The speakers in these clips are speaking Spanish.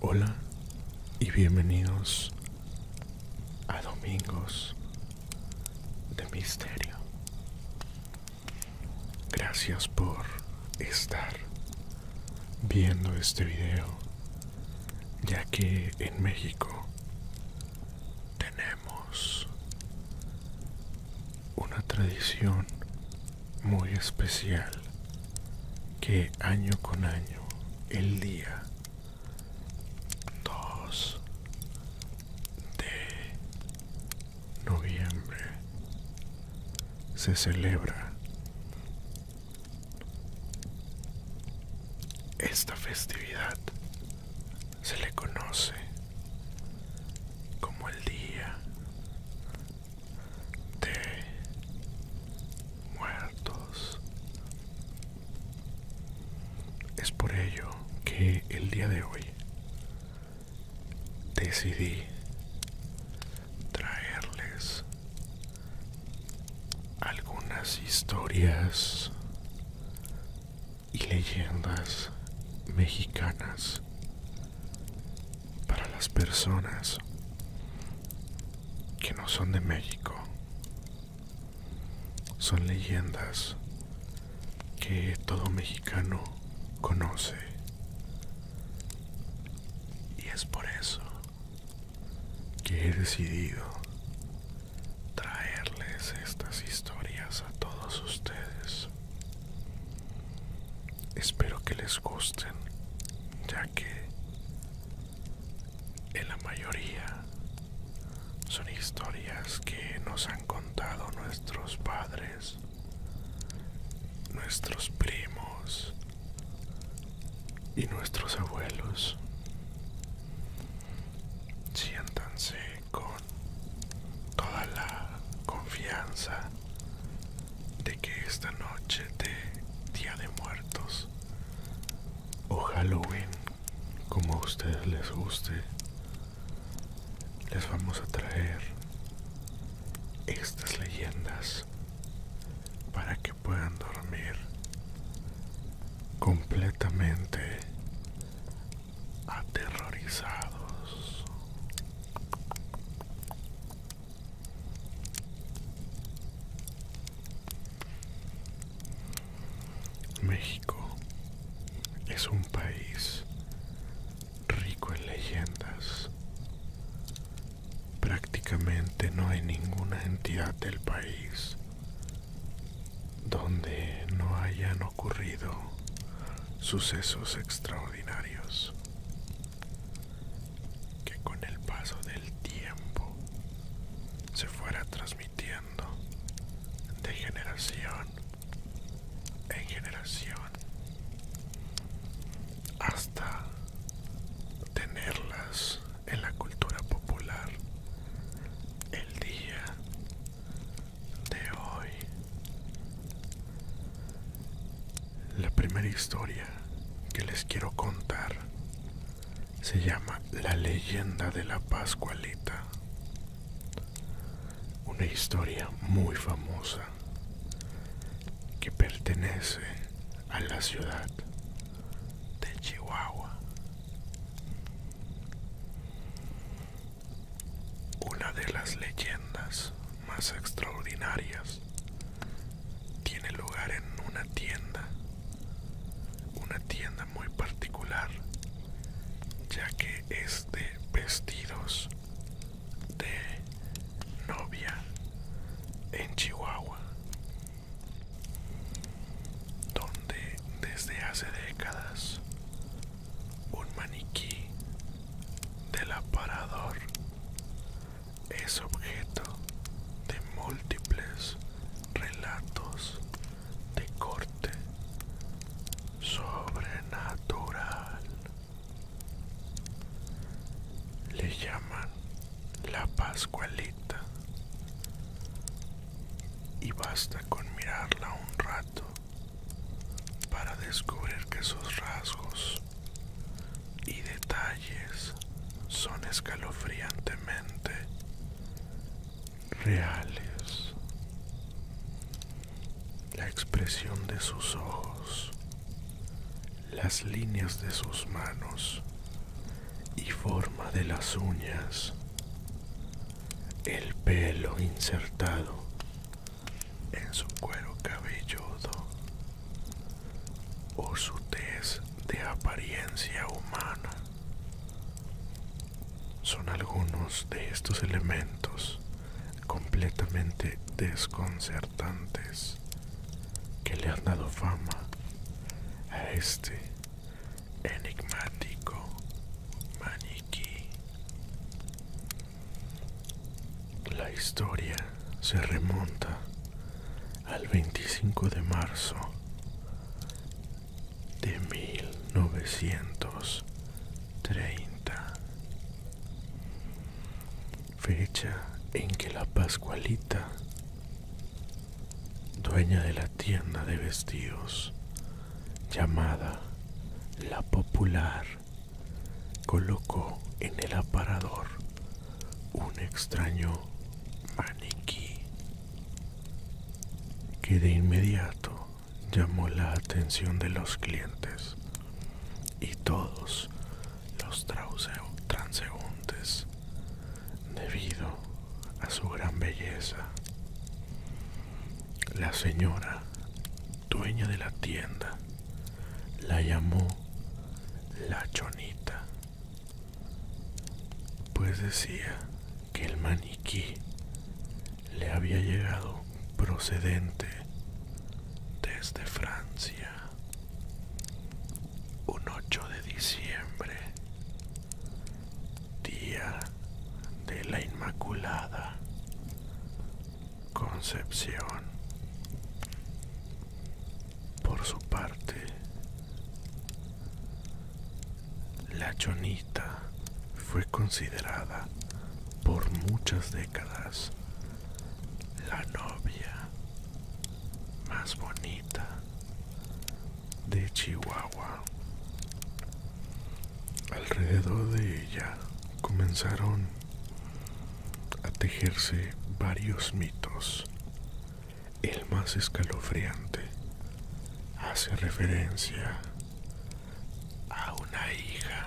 Hola y bienvenidos a Domingos de Misterio. Gracias por estar viendo este video, ya que en México tenemos una tradición muy especial que año con año, el día 2 de noviembre se celebra esta festividad se le conoce como el día de muertos es por ello que el día de hoy decidí traerles algunas historias y leyendas mexicanas para las personas que no son de México. Son leyendas que todo mexicano conoce. Y es por eso que he decidido traerles estas historias a todos ustedes. Espero que les gusten, ya que en la mayoría son historias que nos han contado nuestros padres nuestros primos y nuestros abuelos. Siéntanse con toda la confianza de que esta noche de Día de Muertos o Halloween, como a ustedes les guste, les vamos a traer estas leyendas para que puedan dormir completamente aterrorizados es un país rico en leyendas. Prácticamente no hay ninguna entidad del país donde no hayan ocurrido sucesos extraordinarios que con el paso del tiempo se fuera transmitiendo de generación en generación hasta tenerlas en la cultura popular el día de hoy. La primera historia que les quiero contar se llama La leyenda de la Pascualita una historia muy famosa que pertenece a la ciudad de Chihuahua. Una de las leyendas más extraordinarias tiene lugar en una tienda, una tienda muy particular, ya que este vestidos de novia en Chihuahua, donde desde hace décadas un maniquí del aparador es objeto de múltiples relatos de corte sobrenatural. Le llaman la Pascualita. Y basta con mirarla un rato para descubrir que sus rasgos y detalles son escalofriantemente reales. La expresión de sus ojos, las líneas de sus manos y forma de las uñas, el pelo insertado en su cuero cabelludo o su tez de apariencia humana. Son algunos de estos elementos completamente desconcertantes que le han dado fama a este enigmático maniquí. La historia se remonta al 25 de marzo de 1930, fecha en que la Pascualita, dueña de la tienda de vestidos llamada La Popular, colocó en el aparador un extraño maniquí que de inmediato llamó la atención de los clientes y todos los transeúntes debido a su gran belleza. La señora, dueña de la tienda, la llamó la chonita, pues decía que el maniquí le había llegado procedente desde Francia un 8 de diciembre, día de la Inmaculada Concepción. Por su parte, la chonita fue considerada por muchas décadas la novia más bonita de Chihuahua. Alrededor de ella comenzaron a tejerse varios mitos el más escalofriante, hace referencia a una hija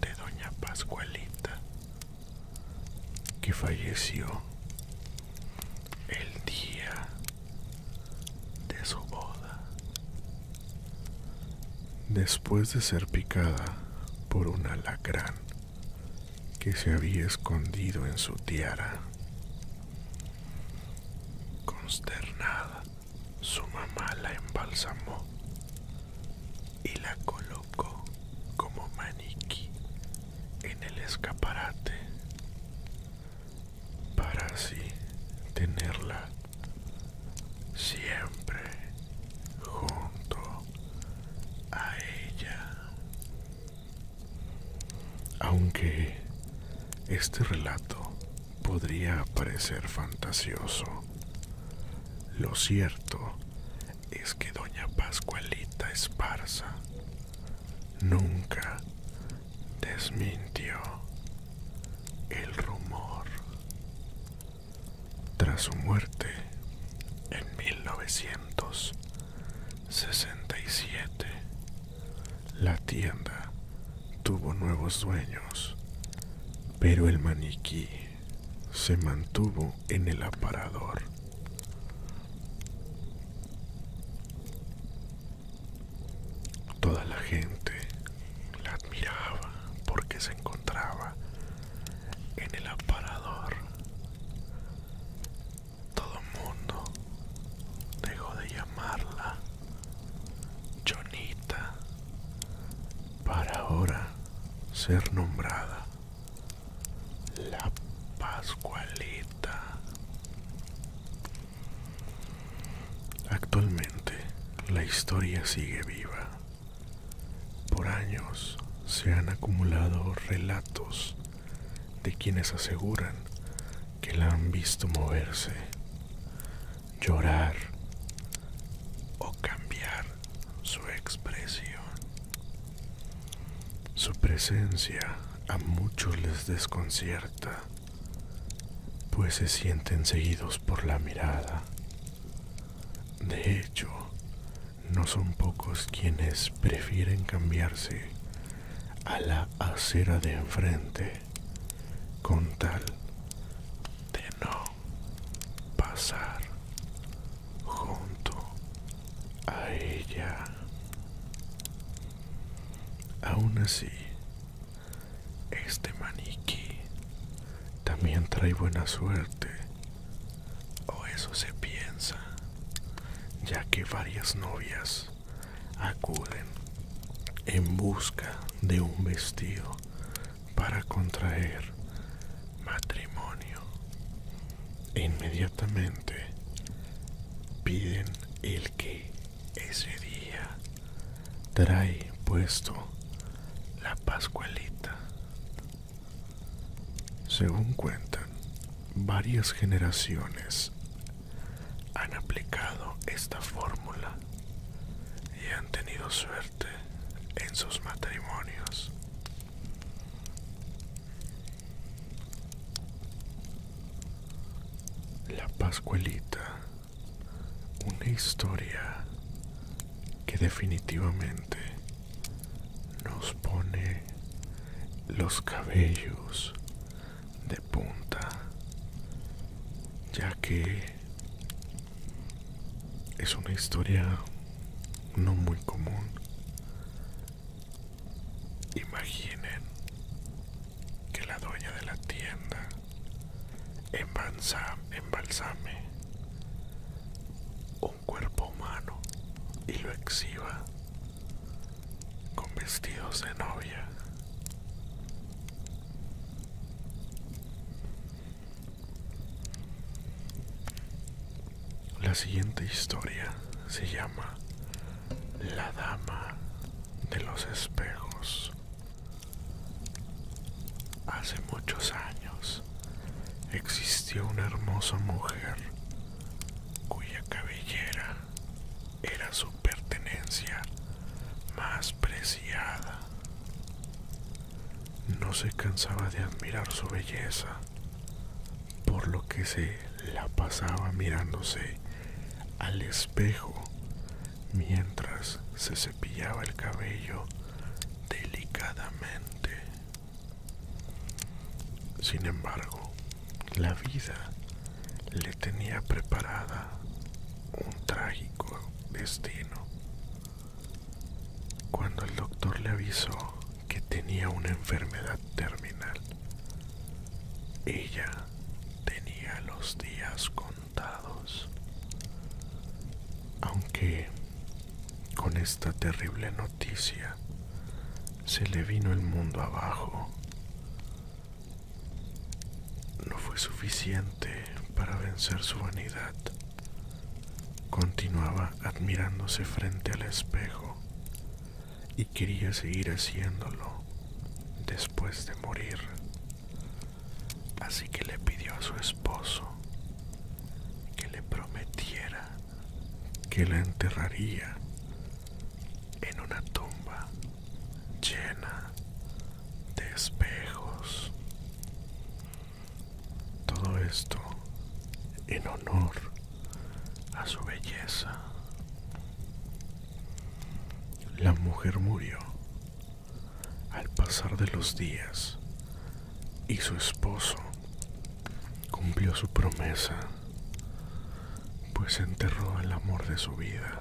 de doña Pascualita que falleció el día de su boda después de ser picada por un alacrán que se había escondido en su tiara. Consternada, su mamá la embalsamó y la colocó como maniquí en el escaparate para así tenerla siempre junto a ella. Aunque este relato podría parecer fantasioso, lo cierto es que doña Pascualita Esparza nunca desmintió el rumor. Tras su muerte en 1900, 67. La tienda tuvo nuevos dueños, pero el maniquí se mantuvo en el aparador. Toda la gente la admiraba porque se encontraba en el aparador. Todo el mundo dejó de llamarla Jonita para ahora ser nombrada la Pascualita. Actualmente la historia sigue viva. Por años se han acumulado relatos de quienes aseguran que la han visto moverse, llorar o cambiar su expresión. Su presencia a muchos les desconcierta, pues se sienten seguidos por la mirada. De hecho, no son pocos quienes prefieren cambiarse a la acera de enfrente con tal de no pasar junto a ella. Aún así, este maniquí también trae buena suerte, o eso se piensa ya que varias novias acuden en busca de un vestido para contraer matrimonio. Inmediatamente piden el que ese día trae puesto la Pascualita. Según cuentan, varias generaciones han aplicado esta fórmula y han tenido suerte en sus matrimonios. La Pascuelita, una historia que definitivamente nos pone los cabellos de punta, ya que es una historia no muy común. Imaginen que la dueña de la tienda embalsame, embalsame cuerpo humano y lo exhiba con vestidos de novia. La siguiente historia se llama La Dama de los Espejos. Hace muchos años existió una hermosa mujer cuya cabellera era su pertenencia más preciada. No se cansaba de admirar su belleza, por lo que se la pasaba mirándose al espejo mientras se cepillaba el cabello delicadamente. Sin embargo, la vida le tenía preparada un trágico destino. Cuando el doctor le avisó que tenía una enfermedad terminal, ella tenía los días contados. Aunque con esta terrible noticia se le vino el mundo abajo. No fue suficiente para vencer su vanidad. Continuaba admirándose frente al espejo y quería seguir haciéndolo después de morir. Así que le pidió a su esposo que le prometiera que la enterraría en una tumba llena de espejos. Todo esto en honor a su belleza. La mujer murió al pasar de los días y su esposo Cumplió su promesa, pues enterró el amor de su vida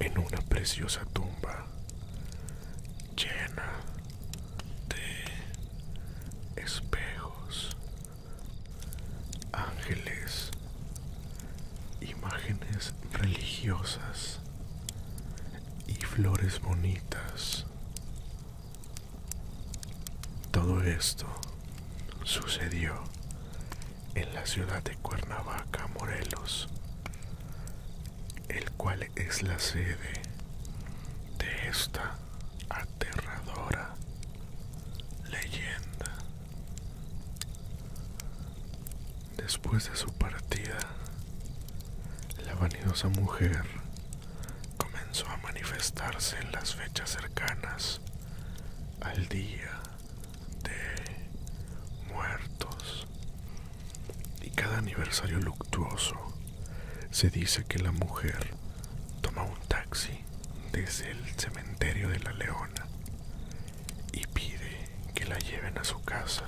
en una preciosa tumba llena de espejos, ángeles, imágenes religiosas y flores bonitas todo esto sucedió en la ciudad de Cuernavaca, Morelos, el cual es la sede de esta aterradora leyenda. Después de su partida, la vanidosa mujer comenzó a manifestarse en las fechas cercanas al día de muertos y cada aniversario luctuoso se dice que la mujer toma un taxi desde el cementerio de la leona y pide que la lleven a su casa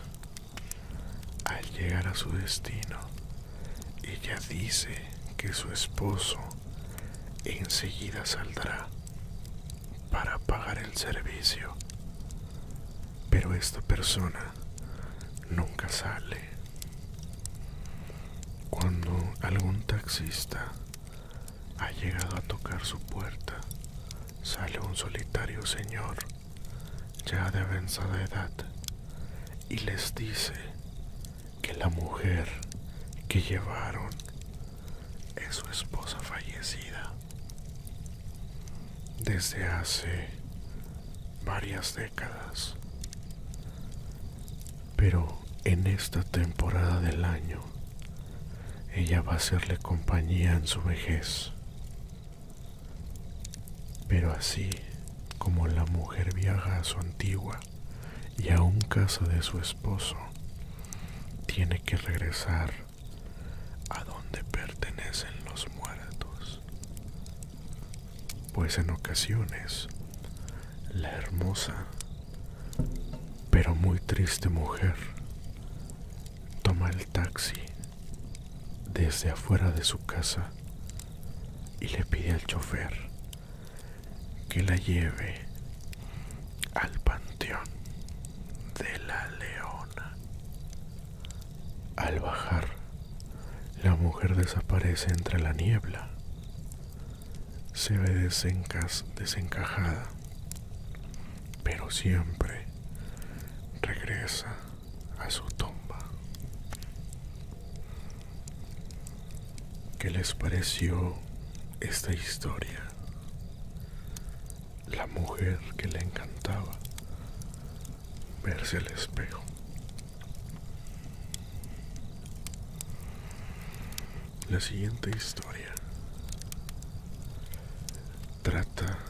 al llegar a su destino ella dice que su esposo enseguida saldrá para pagar el servicio, pero esta persona nunca sale. Cuando algún taxista ha llegado a tocar su puerta, sale un solitario señor ya de avanzada edad y les dice que la mujer que llevaron es su esposa fallecida desde hace varias décadas. Pero en esta temporada del año, ella va a hacerle compañía en su vejez. Pero así como la mujer viaja a su antigua y a un casa de su esposo, tiene que regresar a donde pertenecen los muertos, pues en ocasiones la hermosa pero muy triste mujer toma el taxi desde afuera de su casa y le pide al chofer que la lleve al panteón de la leona. Al bajar, la mujer desaparece entre la niebla. Se ve desencajada, pero siempre regresa a su tumba. ¿Qué les pareció esta historia? La mujer que le encantaba verse el espejo. La siguiente historia trata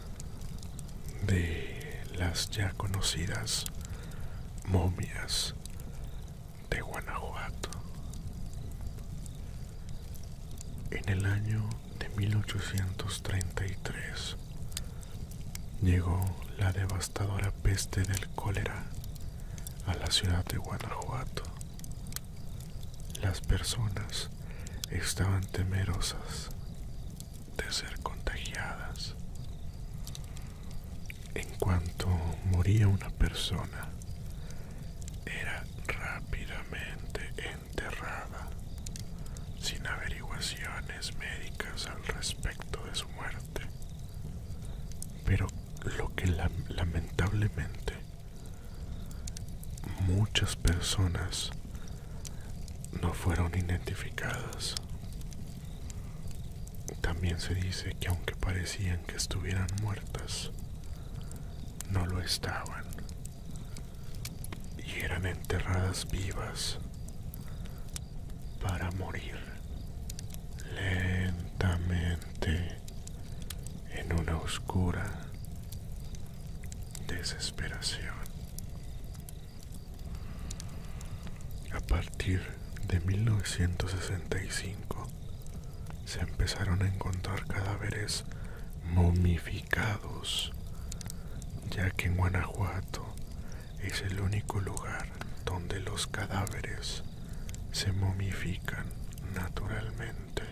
de las ya conocidas momias de Guanajuato. En el año de 1833 llegó la devastadora peste del cólera a la ciudad de Guanajuato. Las personas estaban temerosas de ser contagiadas. En cuanto moría una persona, era rápidamente enterrada, sin averiguaciones médicas al respecto de su muerte. Pero lo que lamentablemente muchas personas no fueron identificadas. También se dice que aunque parecían que estuvieran muertas, no lo estaban y eran enterradas vivas para morir lentamente en una oscura desesperación. A partir de 1965 se empezaron a encontrar cadáveres momificados, ya que en Guanajuato es el único lugar donde los cadáveres se momifican naturalmente,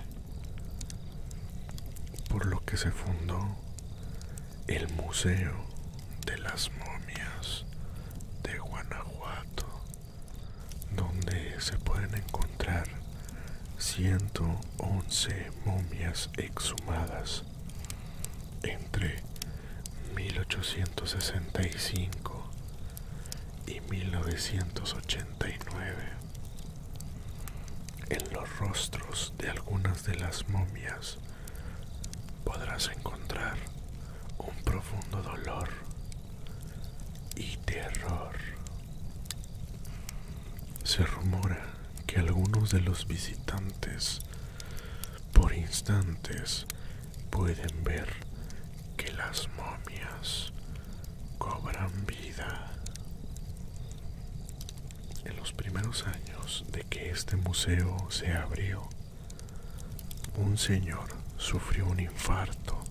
por lo que se fundó el Museo de las Momias de Guanajuato, donde se pueden encontrar 111 momias exhumadas entre 1865 y 1989 en los rostros de algunas de las momias podrás encontrar un profundo dolor y terror. Se rumora que algunos de los visitantes por instantes pueden ver que las momias cobran vida en los primeros años de que este museo se abrió, un señor sufrió un infarto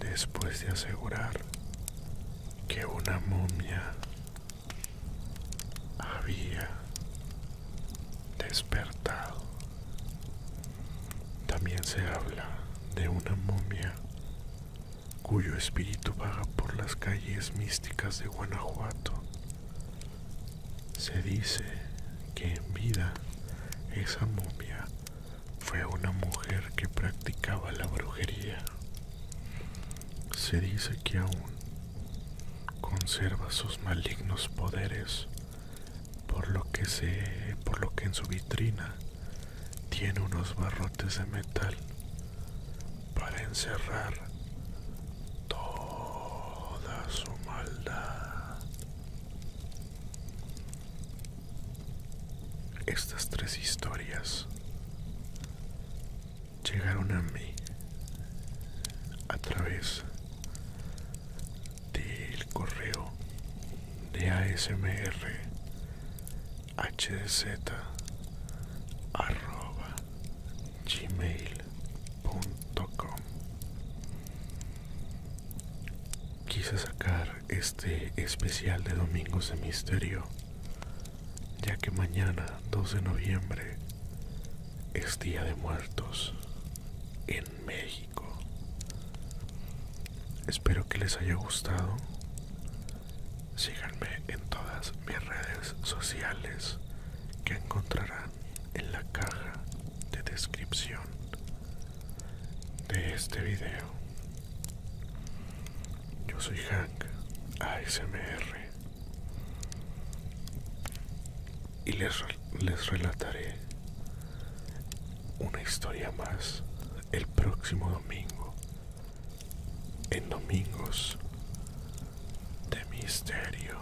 después de asegurar que una momia había despertado. También se habla de una momia cuyo espíritu vaga por las calles místicas de Guanajuato. Se dice que en vida esa momia fue una mujer que practicaba la brujería. Se dice que aún conserva sus malignos poderes, por lo que en su vitrina tiene unos barrotes de metal para encerrar toda su maldad. Estas tres historias llegaron a mí a través del correo de ASMR hdz Quise sacar este especial de Domingos de Misterio, ya que mañana 2 de noviembre es Día de Muertos en México. Espero que les haya gustado. Síganme en todas mis redes sociales que encontrarán en la caja de descripción de este video. Yo soy Hank ASMR y les, les relataré una historia más el próximo domingo en domingos de misterio.